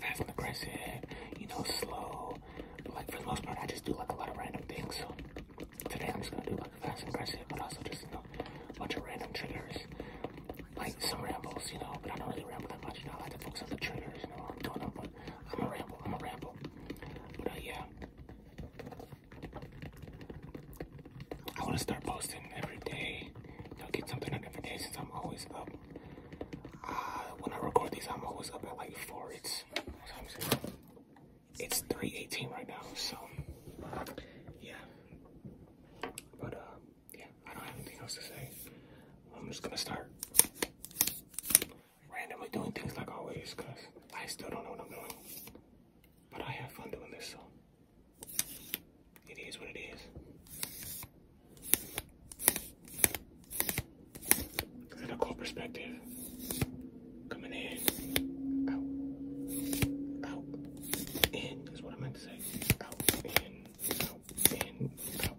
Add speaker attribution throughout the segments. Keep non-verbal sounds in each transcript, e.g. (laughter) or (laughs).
Speaker 1: fast and aggressive, you know, slow. But like for the most part, I just do like a lot of random things. So today I'm just gonna do like fast and aggressive, but also just you know, a bunch of random triggers. Like some rambles, you know, but I don't really ramble that much. You know, I like to focus on the triggers, you know, I'm doing them, but I'm gonna ramble, I'm gonna ramble. But uh, yeah. I wanna start posting every day. You know, get something up every day since I'm always up. Uh, when I record these, I'm always up at like four. It's It's three eighteen right now, so yeah. But uh, yeah, I don't have anything else to say. I'm just gonna start randomly doing things like always, cause I still don't know what I'm doing. But I have fun doing this, so it is what it is. Clinical perspective. Coming in. Out. Out. In is what I meant to say. Out. In. Out. In. Out.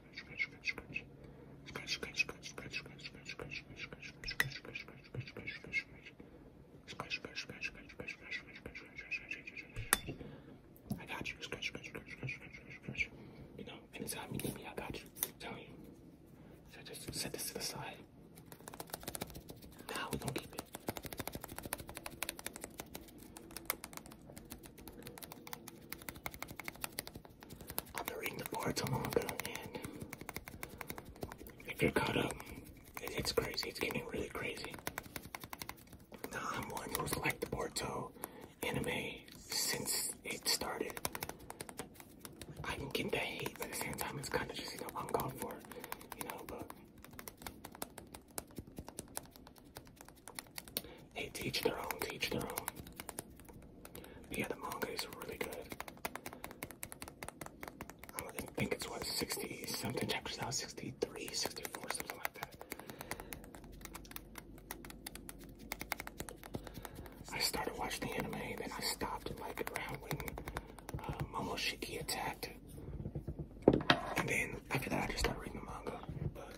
Speaker 1: I got you. Scratch, scratch, scratch, scratch, scratch, scratch. You know, anytime you need me, I got you. I'm telling you. So just set this to the side. Now we're gonna keep it. I've been reading the boards a little bit, and if you're caught up, it's crazy. It's getting really crazy. Now, I'm um, one who's liked the Boruto anime since it started. I can get the hate, but at the same time, it's kind of just, you know, uncalled for, you know, but Hey, teach their own, teach their own. yeah, the manga is really good. I don't think it's what, 60 something chapters now, 63, something like that. I started watching the anime, then I stopped and like around when uh, Shiki attacked. And then after that, I just started reading the manga.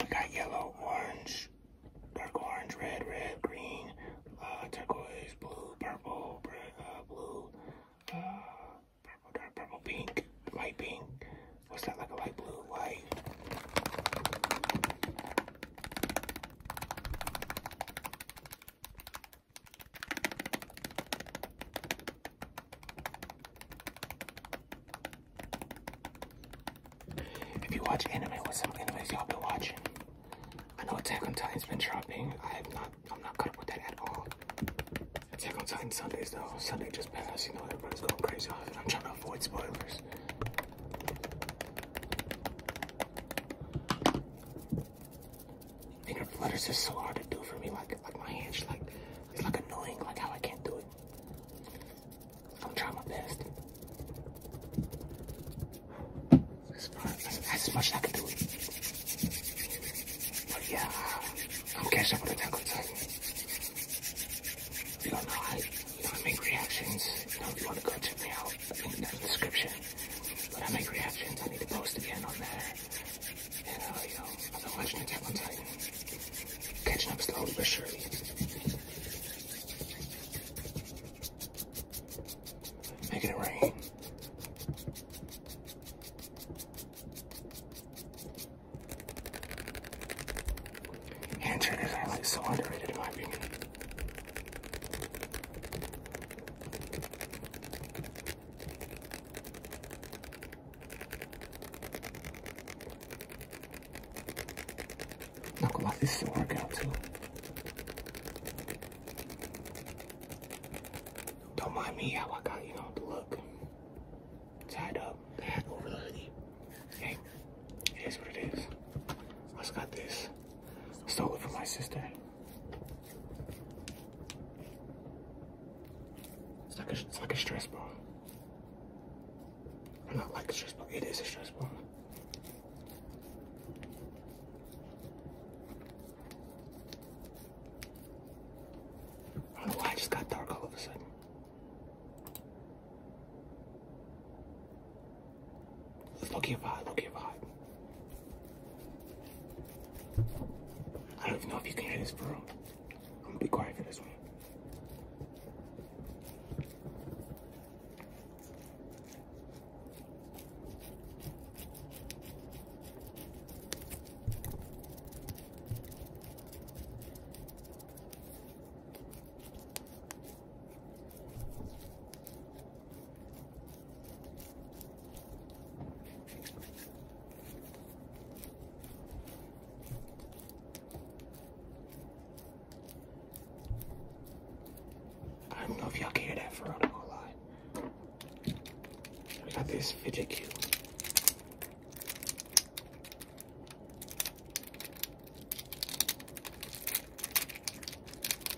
Speaker 1: We got yellow, orange, dark orange, red, red, green, uh, turquoise, blue, purple, uh, blue, uh, purple, dark purple, pink, light pink. What's that like a light blue, white? If you watch anime, what some animes y'all been watching? I know Attack on Titan's been dropping. I have not. I'm not gonna put that at all. Attack on Titan Sundays though. Sunday just passed. You know everybody's going crazy off it. I'm trying to avoid spoilers finger flutters are so hard to do for me. Like, like my she's like it's like annoying. Like how I can't do it. I'm trying my best. as much as I can do. But yeah, uh, I'm catching up with the Tackle Titan. If you don't know I make reactions, if you want to go check me out, link in the description. But I make reactions. I need to post again on there. And I've been watching Attack on Titan. Catching up slowly but surely. Making it rain. And triggers so underrated in my opinion. Not gonna lie, this too. Don't mind me how I got, you know, the look. Tied up, the over the Hey, it is what it is. I just got this. Stole it from my sister. It's like a, it's like a stress ball. Not like stress ball, it is a stress ball. why just got dark all of a sudden. Look at vibe, look at vibe. I don't even know if you can hear this for I'm gonna be quiet for this one. I don't know if y'all care that far. real, I'm gonna lie. I got this fidget cube.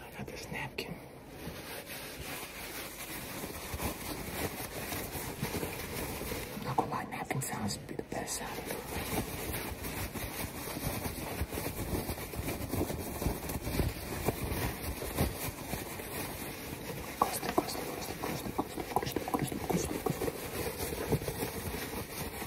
Speaker 1: I got this napkin. Not gonna lie, napkin sounds be the best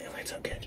Speaker 1: It lights up good.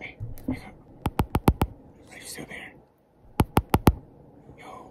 Speaker 1: Hey, wake up. Are you still there? Yo.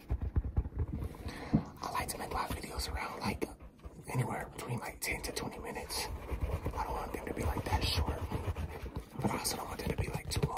Speaker 1: I like to make my videos around like anywhere between like 10 to 20 minutes. I don't want them to be like that short, but I also don't want them to be like too long.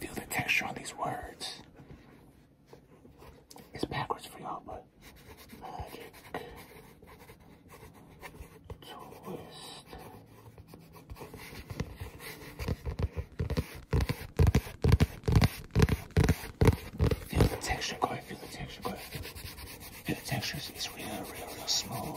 Speaker 1: Feel the texture on these words. It's backwards for y'all, but magic Feel the texture, go feel the texture, go Feel the texture, it's real, real, real smooth.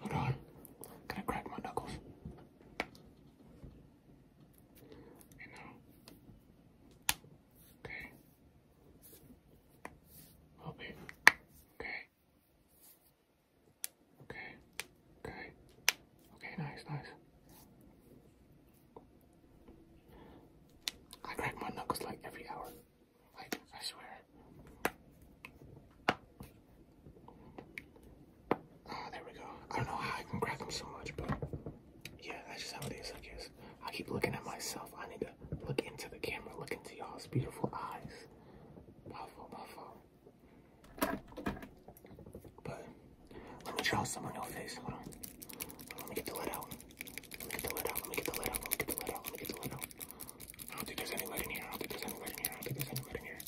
Speaker 1: Hold on. Gonna crack my knuckles. Okay. Okay. Okay. Okay. Okay, nice, nice. I crack my knuckles like every hour. Like, I swear. Ah, there we go. I don't know how I can crack them so much, but yeah, that's just how it is, I guess. I keep looking at myself. I need to look into the camera, look into y'all's beautiful eyes. My fault, but let me draw some on your face. Hold on. Let me get the lead out. Let me get the lead out. Let me get the lead out. Let me get the lead out. Let me get the lead out. I don't think there's any lead in here. I don't think there's any lead in here. I don't think there's any lead in here.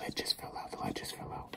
Speaker 1: Lead just fell out. The lead just fell out.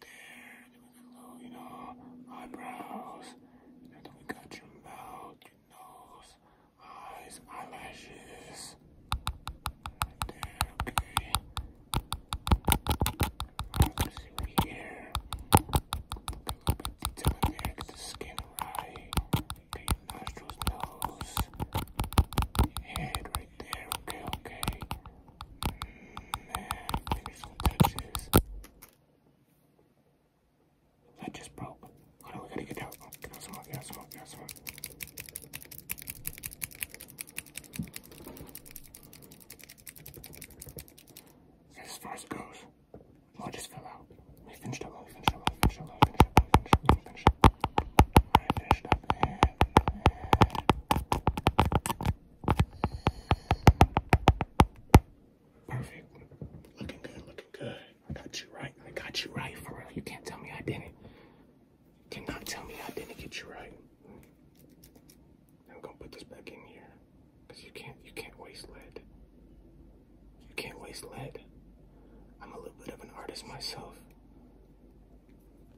Speaker 1: there, doing a little, you know, eyebrows. And then we got your mouth, your nose, eyes, eyelashes. there, okay. Let's see right Got a little bit skin right. Okay, your nostrils, nose, head right there, okay, okay uh, finishing touches. That just broke. Hold on, we gotta get out. Get out some more, get out some more, get out some more. As far as it goes, well, just fell out. We finished up, we finished up, we finished up, we finished up, we finished up, we finished up. Alright, finished up, and Perfect. Looking good, looking good. I got you right. I got you right for real. You can't tell me I didn't. You cannot tell me I didn't get you right. I'm gonna put this back in here. Cause you can't you can't waste lead. You can't waste lead. I'm a little bit of an artist myself.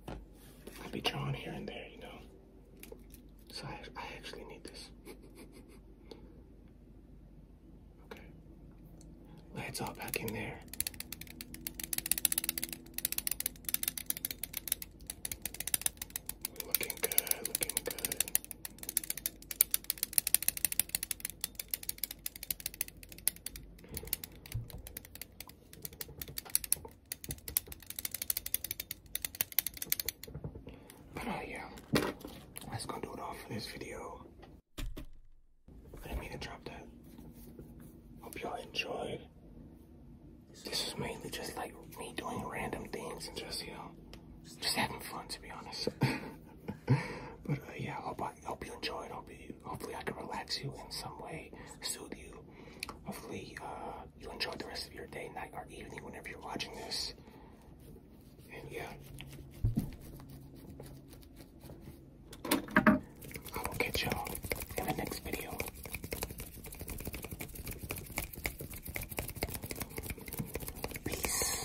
Speaker 1: I'll be drawn here and there, you know. So I, I actually need this. okay. Lay all back in there. Looking good, looking good. But uh, yeah, that's gonna do it all for this video. I didn't mean to drop that. Hope y'all enjoyed. This is mainly just like me doing random things and just, you know, just having fun to be honest. (laughs) but uh, yeah, hope, I, hope you enjoy enjoyed. Hope you Hopefully, I can relax you in some way, soothe you. Hopefully, uh, you'll enjoy the rest of your day, night, or evening whenever you're watching this. And yeah, I will catch y'all in the next video. Peace.